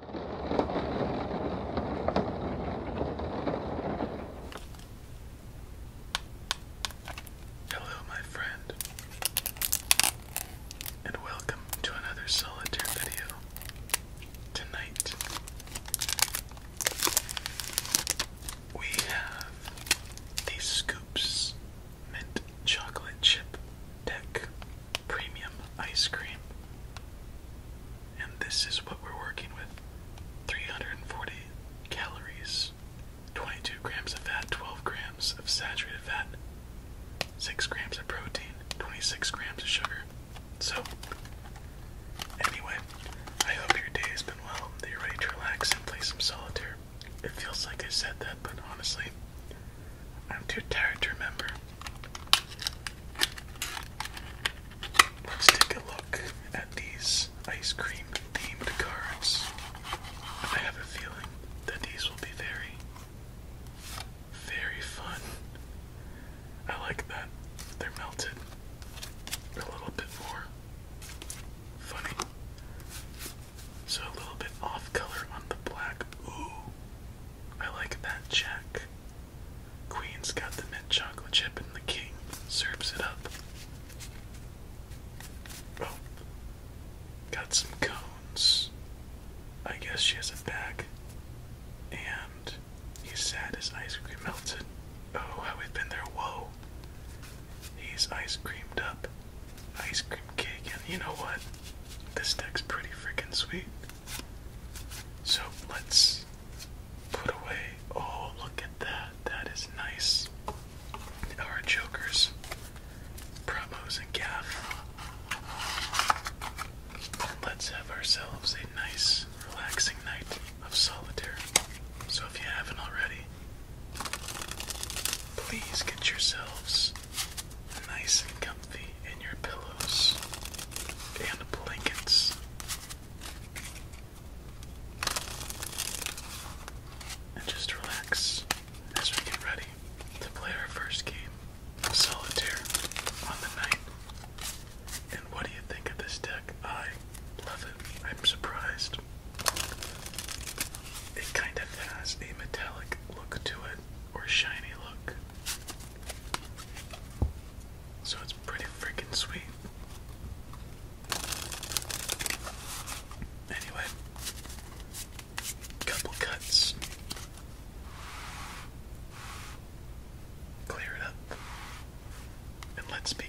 Hello, my friend, and welcome to another solitaire video. Tonight, we have the Scoops Mint Chocolate Chip deck premium ice cream. And this is what we're working with 340 calories, 22 grams of fat, 12 grams of saturated fat, 6 grams of protein, 26 grams of sugar. So, anyway, I hope your day has been well, that you're ready to relax and play some solitaire. It feels like I said that, but honestly, I'm too tired to remember. Let's take a look at these ice cream themed cards. I have a feeling that these will be very, very fun. I like that they're melted a little bit more funny. So a little bit off color on the black. Ooh, I like that check. Queen's got the mint chocolate chip and the king serves it up. Oh, got some cones. I guess she has a bag. And he's sad his ice cream melted. Oh, how we've been there. Whoa. He's ice creamed up. Ice cream cake. And you know what? This deck's pretty freaking sweet. So let's put away. Oh, look at that. That is nice. Our Jokers, promos, and gaff. Let's have ourselves a nice, relaxing night of solitaire. So if you haven't already, please get yourselves nice and comfy in your pillows and blankets. And just relax as we get ready to play our first game solitaire on the night. And what do you think of this deck? I love it. I'm surprised. It kind of has a metallic look to it, or shiny look. So it's pretty freaking sweet. Anyway, couple cuts. Clear it up. And let's begin.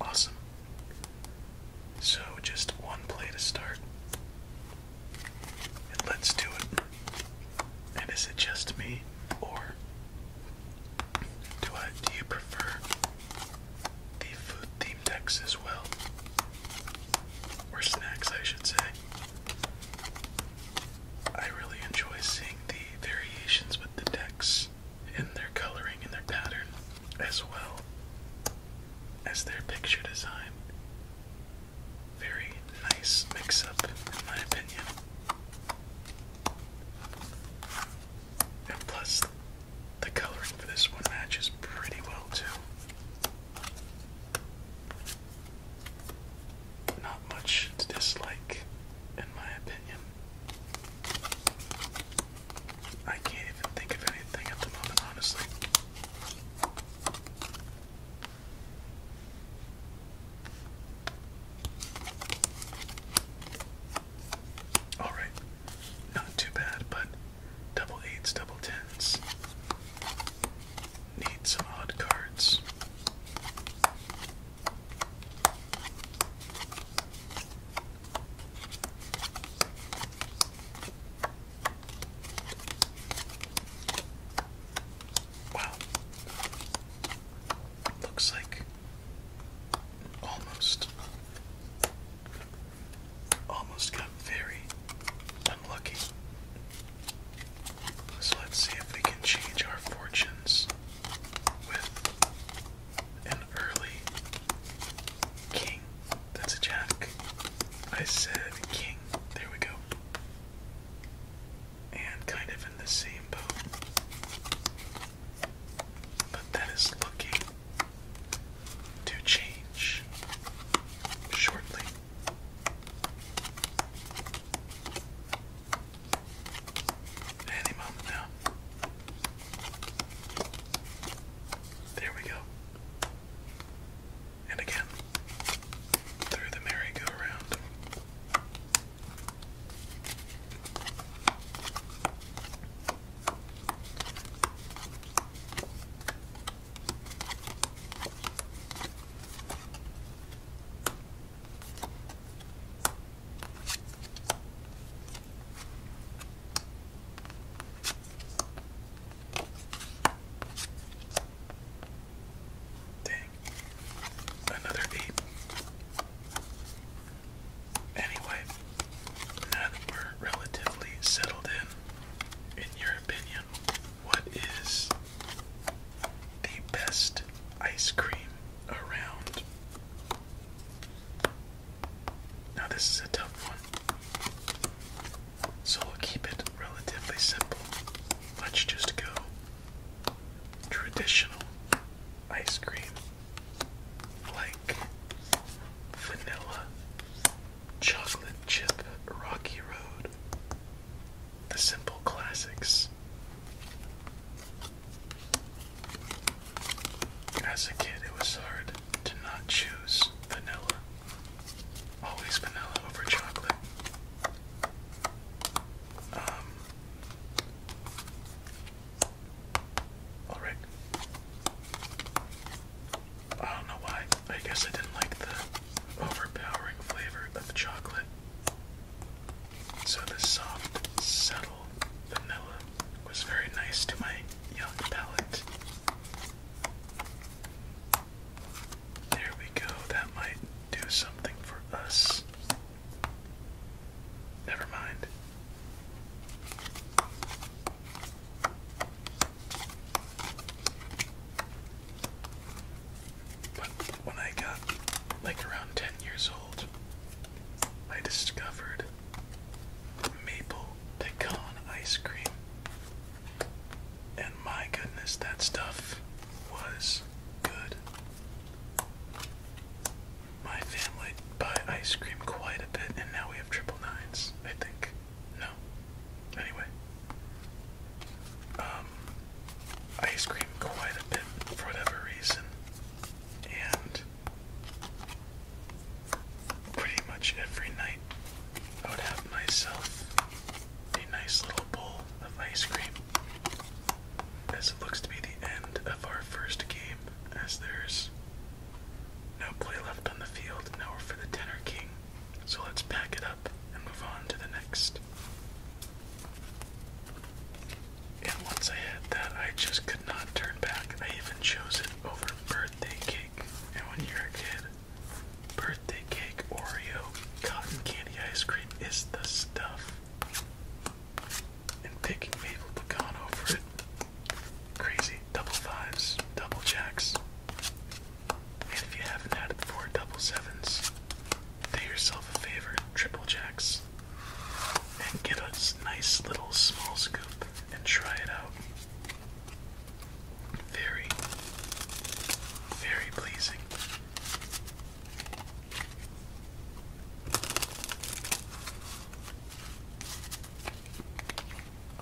Awesome. So just one play to start. And let's do it. And is it just me or do I do you prefer the food themed decks as well? Or snacks I should say. I really enjoy seeing the variations with the decks in their coloring and their pattern, as well as their picture design. Very nice mix up, in my opinion. And plus, the coloring for this one matches pretty well, too not much to dislike, in my opinion. I can't even think of anything at the moment, honestly. Alright, not too bad, but double eights, double tens. Need some odd cards. Wow. Looks like almost almost got very unlucky. So let's see if we can change our fortunes with an early king. That's a jack. I said king. There we go. And kind of in the same boat. But that is looking to change shortly. Any moment now. There we go. And again, through the merry-go-round. Dang. Another eight. Anyway, now that we're relatively settled in, in your opinion, what is the best ice cream around. Now, this is a tough one, so we'll keep it relatively simple. Let's just go traditional ice cream like vanilla, chocolate chip, rocky road, the simple classics. As a kid, it was hard to not choose vanilla. Always vanilla over chocolate. Um, Alright. I don't know why. I guess I didn't like the overpowering flavor of chocolate so the soft, subtle vanilla was very nice to my young palate. There we go, that might do something for us. Never mind. But when I got like around 10 years old, I discovered maple pecan ice cream. And my goodness, that stuff was good. My family buy ice cream quite a bit, and now we have triple nines, I think. No. Anyway. Um, ice cream quite a bit for whatever reason, and pretty much every night I would have myself a nice little bowl of ice cream. As it looks to be the end of our first game, as there's no play left on the field, now we're for the tenor king. So let's pack it up and move on to the next. And once I had that, I just could not turn back. I even chose it over birthday cake. And when you're a kid, birthday cake, Oreo, cotton candy ice cream is the stuff. And picking Mabel pecan for it. Crazy. Double fives, double jacks. And if you haven't had it before, double sevens do yourself a favor, Triple Jacks, and get a nice little small scoop and try it out. Very, very pleasing.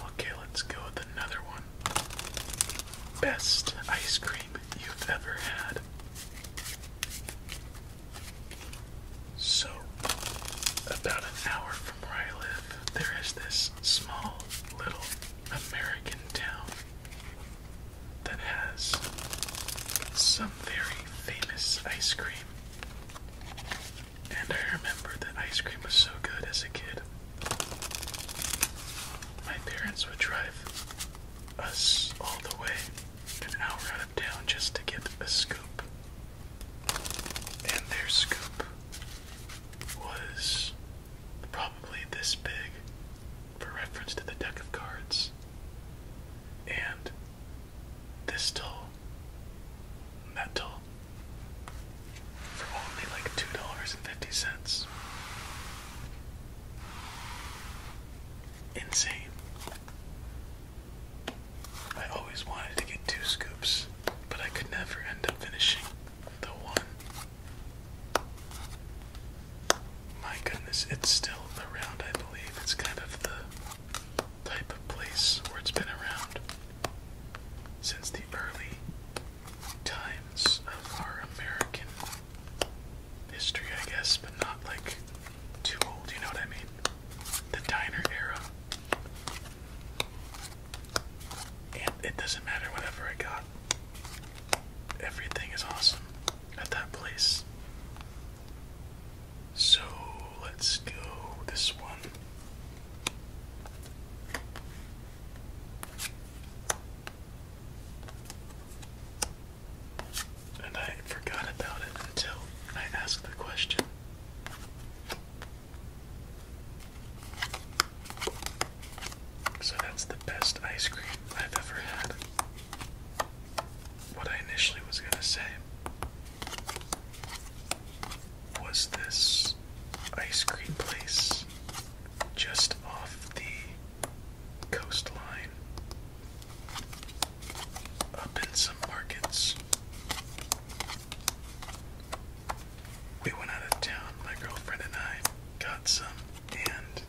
Okay, let's go with another one. Best ice cream you've ever had. So, about an hour from where I live, there is this small little American town that has some very famous ice cream. And I remember that ice cream was so good as a kid. My parents would drive us all the way an hour out of town just to get a scoop. And their scoop was probably this big for reference to the deck of cards. And this tall, metal, for only like $2.50 insane. I always wanted to get two scoops, but I could never end up finishing the one. My goodness, it's still around, I believe. It's kind of the type of place where it's been around since the early times of our American history, I guess, but not like too old, you know what I mean? The diner era. And it doesn't matter whatever I got. Everything is awesome at that place. So let's go this one. And I forgot about it until I asked the question. So that's the best ice cream I've ever had. What I initially was going to say was this ice cream place just off the coastline up in some markets. We went out of town, my girlfriend and I got some, and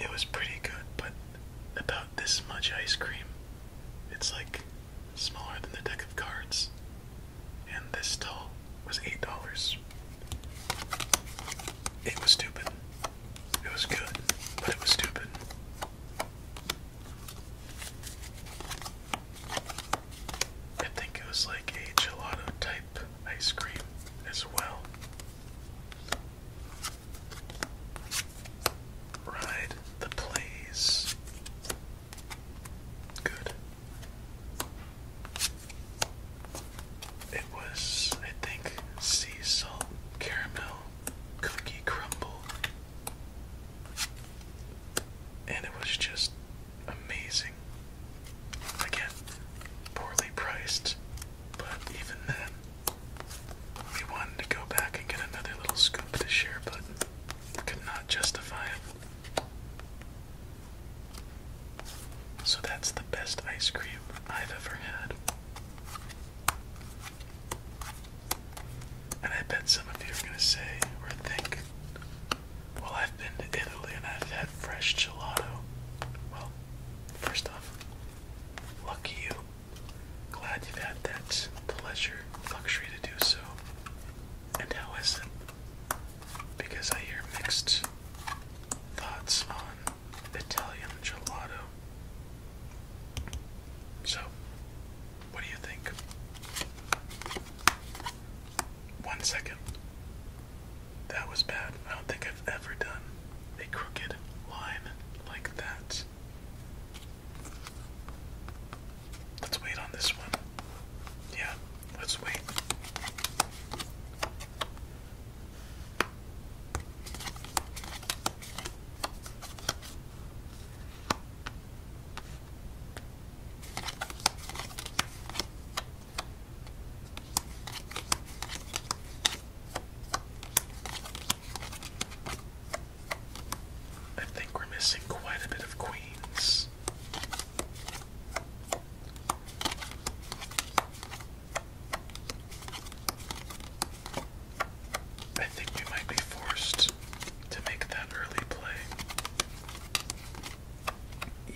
it was pretty good, but about this much ice cream. It's like smaller than the deck of cards, and this tall was $8. It was stupid. It was good, but it was stupid. I think it was like a gelato type ice cream as well. Ride the plays. Good. It was, I think, sea salt caramel cookie crumble. And it was just amazing. Again, poorly priced, but even then, we wanted to go back and get another little scoop this year, but could not justify it. So that's the best ice cream I've ever had. And I bet some of you are going to say or think, well, I've been to Italy and I've had fresh gelato. Well, first off, lucky you. Glad you've had that pleasure, luxury to do so. And how is it? Because I hear mixed thoughts on Italian gelato. So, what do you think? One second. That was bad. I don't think I've ever done a crooked line like that. Let's wait on this one. Yeah, let's wait. I think we're missing quite a bit of queens. I think we might be forced to make that early play.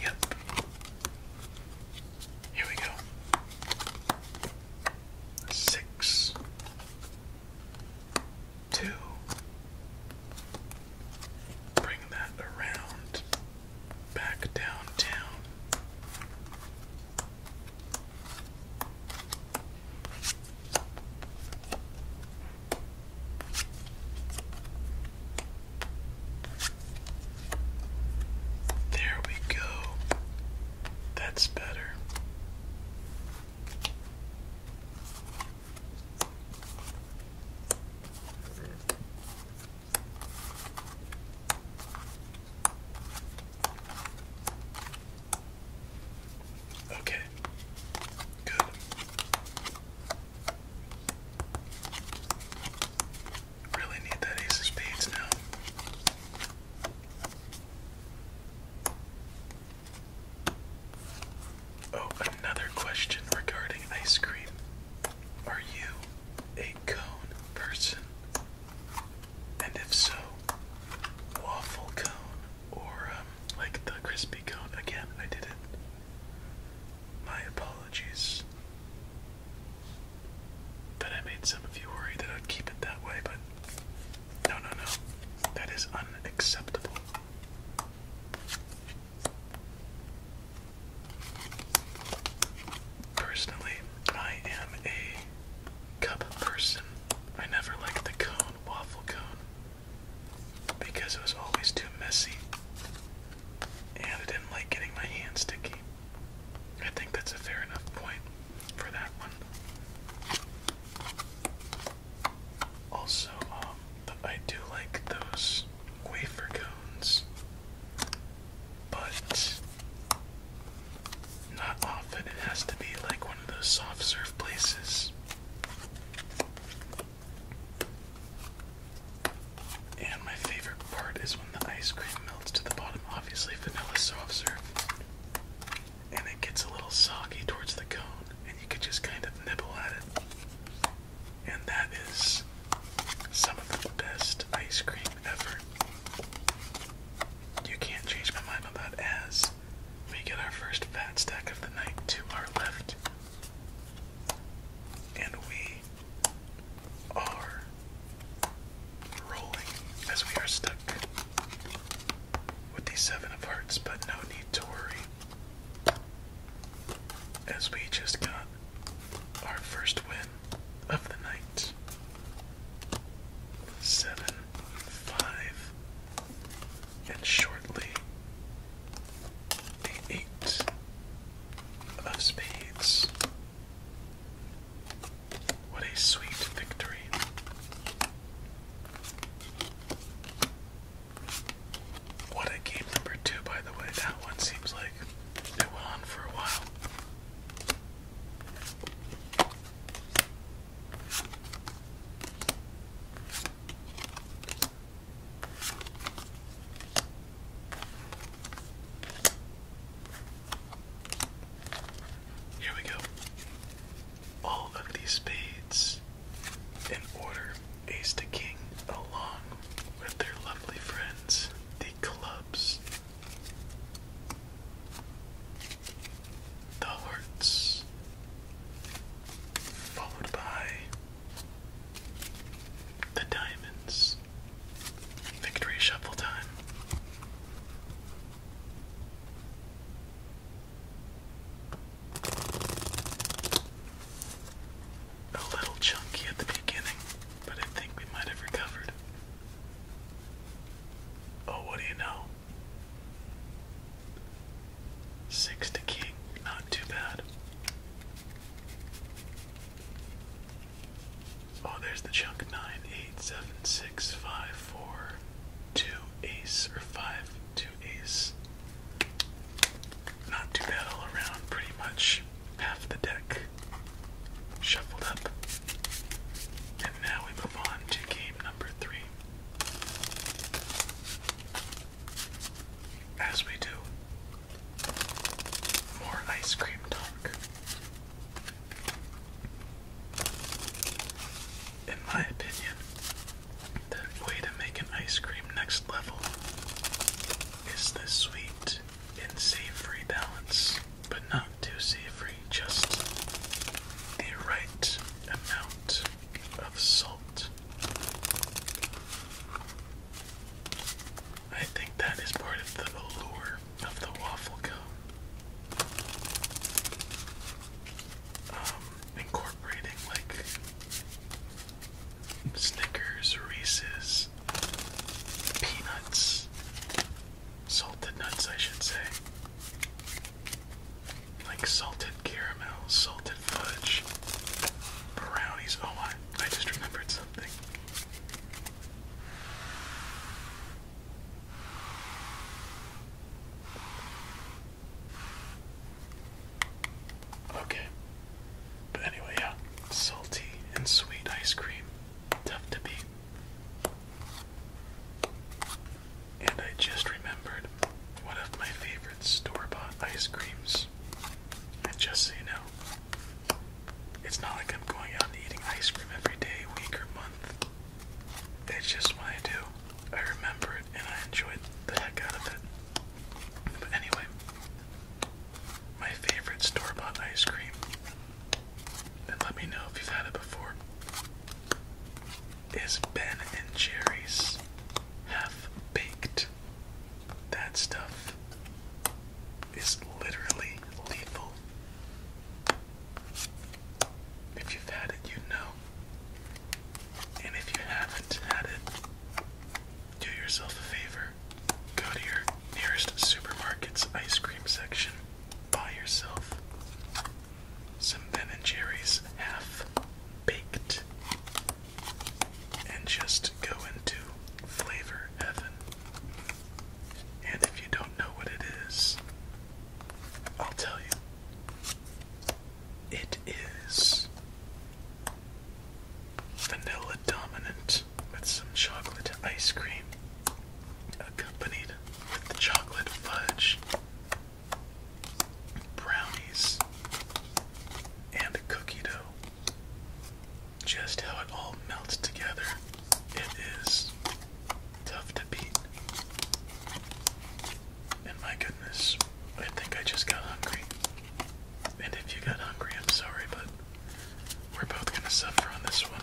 Yep. Here we go. Six. Two. Bring that around back downtown. There we go. That's better. Okay. Good. Really need that ace of spades now. Oh, another question regarding ice cream. Are you a cone person? And if so, waffle cone or um, like the crispy cone? Again, I did it. My apologies that I made some of you worry that I'd keep it that way, but no, no, no. That is unacceptable. Personally, I am a cup person. I never liked the cone, waffle cone, because it was always too messy. And I didn't like getting my hands sticky. I think that's a fair enough point for that one. Also, um, I do like those wafer cones, but not often. It has to be like one of those soft serve places. And my favorite part is when the ice cream melts to the bottom. Obviously, vanilla soft serve. And it gets a little soggy towards the cone, and you can just kind of nibble at it. And that is some of the best ice cream ever. You can't change my mind on as we get our first fat stack of the night to our left. And we are rolling as we are stuck with the seven of hearts, but no need to worry. As we just got our first win of the night. Seven, five, and shortly the eight of spades. What a sweet victory. What a game number two, by the way. That one seems like like it went on for a while. Here we go. All of these spades in order, ace to king, along with their lovely friends, the the clubs, the hearts, followed by the diamonds. Victory shuffle time a little chunky at the beginning, but I think we might have recovered. Oh, what do you know? Six to king, not too bad. Oh, there's the chunk nine, eight, seven, six, five, four, two, ace, or five, two, ace. Not too bad all around, pretty much half the deck shuffled up. And now we move on to game number three. As we do, more ice cream talk. In my opinion, the way to make an ice cream next level is the sweet in savory balance, but not too savory, just the right amount of salt. I think that is part of the allure of the waffle cone. Um, incorporating like Snickers, Reese's, peanuts, salted nuts, I should say, like salted caramel, salted fudge, brownies. Oh, I, I just remembered something. Okay, but anyway, yeah, salty and sweet ice cream, tough to beat. And I just remembered one of my favorite store-bought ice creams. And just so you know, it's not like I'm going out and eating ice cream every day, week, or month. It's just what I do, I remember it and I enjoy the heck out of it. But anyway, my favorite store bought ice cream. And let me know if you've had it before. Is Ben and Jerry's half baked? That stuff is literally lethal. If you've had it, you know. And if you haven't had it, do yourself a favor. Go to your nearest supermarket's ice cream section. Buy yourself some Ben and Jerry's half baked. And just go into flavor heaven. And if you don't know what it is, I'll tell you. It is vanilla dominant with some chocolate ice cream accompanied with the chocolate fudge, brownies, and a cookie dough. Just how it all melts together, it is tough to beat. And my goodness, I think I just got hungry. And if you got hungry, I'm sorry, but we're both gonna suffer on this one.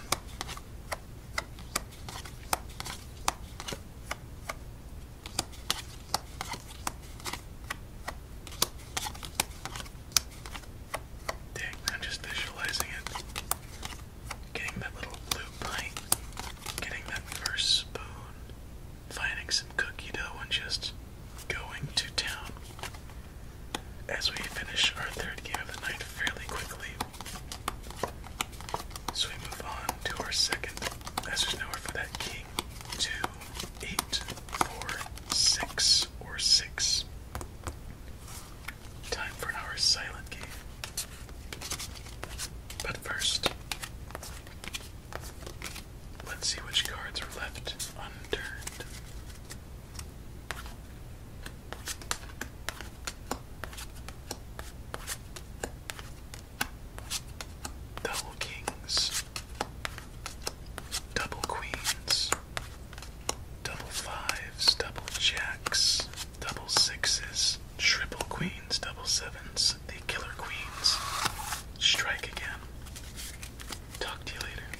Dang, I'm just visualizing it. Getting that little blue bite, getting that first spoon, finding some cookie dough, and just going to town as we finish our third game of the night fairly quickly. So we move on to our second, as there's nowhere for that king. Two, eight, four, six, or six. Time for our silent game. But first, let's see which cards are left unturned. Double kings, double queens, double fives, double jacks, double sixes, triple queens, double sevens, the killer queens. Strike again. Talk to you later.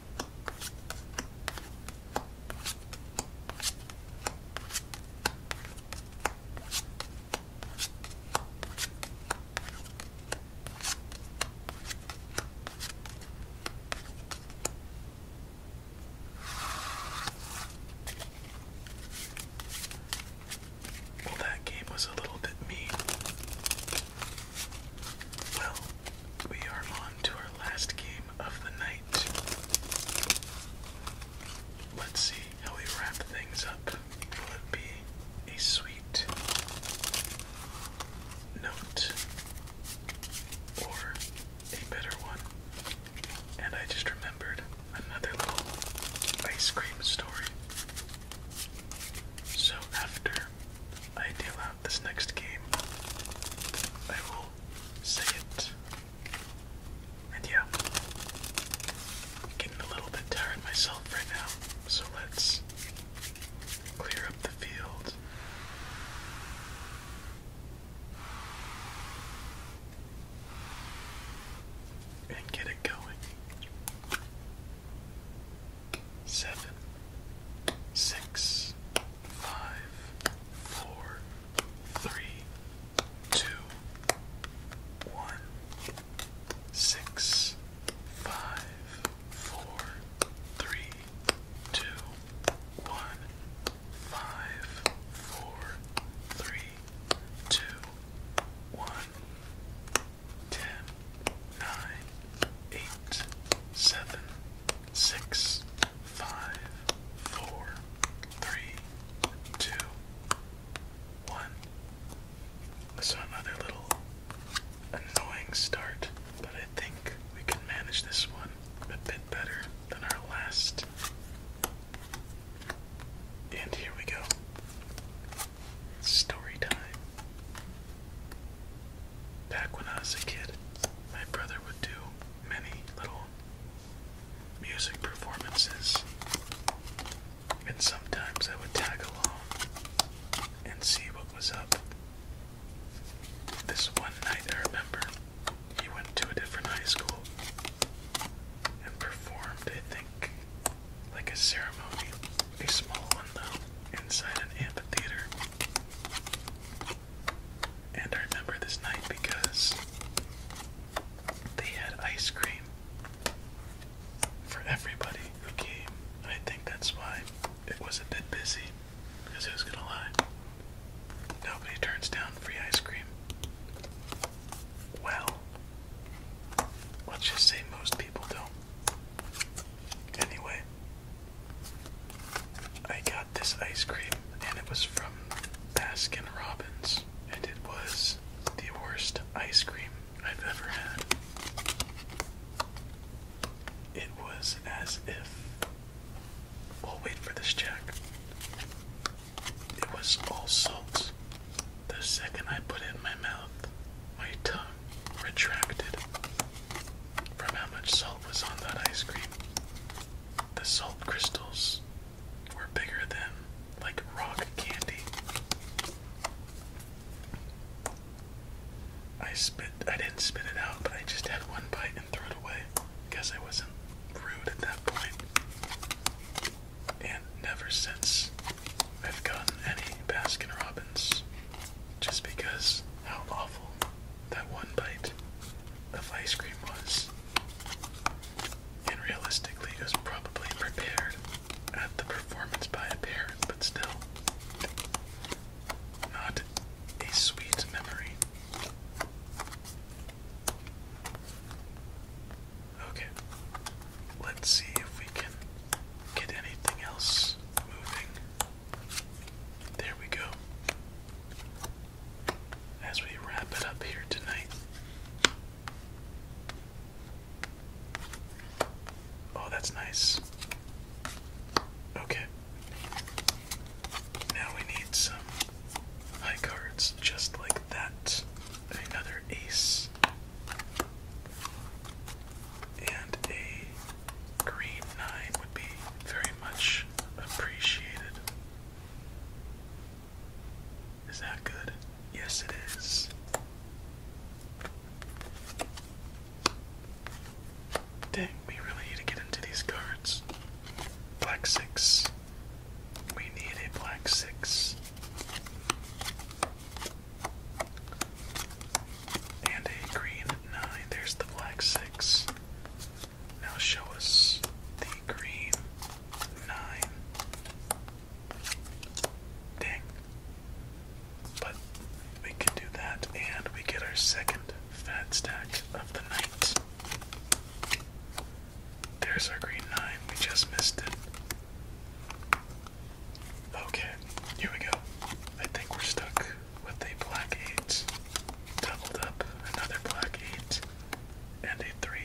Well, that game was a little bit mean. Well, we are on to our last game of the night. Let's see how we wrap things up. Will it be a sweet note or a better one? And I just remembered another little ice cream story. So after I deal out this next game, I will say it. And yeah, getting a little bit tired myself right now, so let's clear up the field. And get it going seven, six, five, four, three, two, one, six, five, four, three, two, one, five, four, three, two, one, ten, nine, eight, seven, six, five, four, three, two, one. another little annoying start, but I think we can manage this one a bit better than our last. And here we go. Story time. Back when I was a kid, my brother would do many little music performances, and sometimes I would tag along and see what was up. This one night, I remember, he went to a different high school and performed, I think, like a ceremony a small one though, inside an amphitheater. And I remember this night because they had ice cream for everybody who came. I think that's why it was a bit busy. Because who's gonna lie? Nobody turns down free ice cream. Well, let's just say most people don't. Anyway, I got this ice cream and it was from Baskin Robbins and it was the worst ice cream I've ever had. It was as if. Well, wait for this check. It was all salt. The second I put it in my mouth, my tongue retracted from how much salt was on that ice cream. The salt crystals were bigger than like rock candy. I spit I didn't spit it out, but I just had one bite and threw it away. Guess I wasn't rude at that point. And never since I've gotten any Baskin Robbins just because how awful that one bite of ice cream was. And realistically, was probably prepared at the performance by a parent, but still, not a sweet memory. Okay, let's see if we can get anything else moving. There we go. As we wrap it up here tonight. Oh, that's nice. Okay. Now we need some high cards just like that. Another ace and a green 9 would be very much appreciated. Is that good? Yes, it is. Dang, we really need to get into these cards. Black 6. We need a black 6 and a green 9. There's the black 6. Now show us the green 9. Dang. But we can do that, and we get our second fat stack of the night. There's our green 9. We just missed it. Okay, here we go. I think we're stuck with a black 8, doubled up another black 8, and a 3.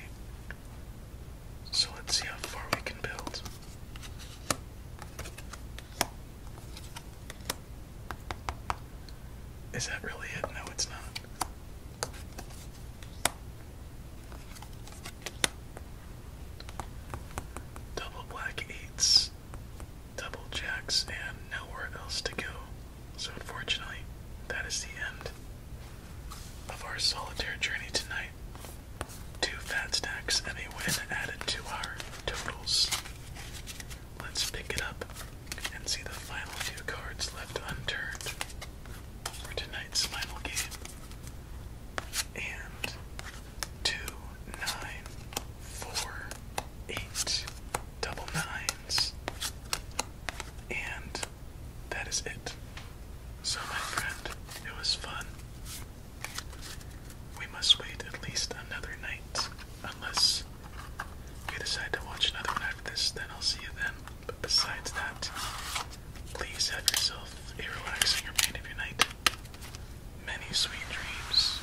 So let's see how far we can build. Is that really it? No, it's not. Double black eights double jacks and nowhere else to go. So unfortunately, that is the end of our solitaire journey tonight. Two fat stacks and a win added to our totals. Let's pick it up and see the final two cards left unturned for tonight's final game. And two, nine, four, eight, double nines, and that is it. So, my friend, it was fun. We must wait at least another night, unless you decide to watch another one after this, then I'll see you then. But besides that, please have yourself a relaxing remainder of your night many sweet dreams,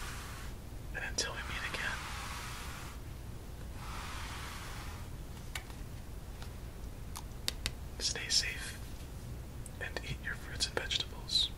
and until we meet again. Stay safe and eat your fruits and vegetables.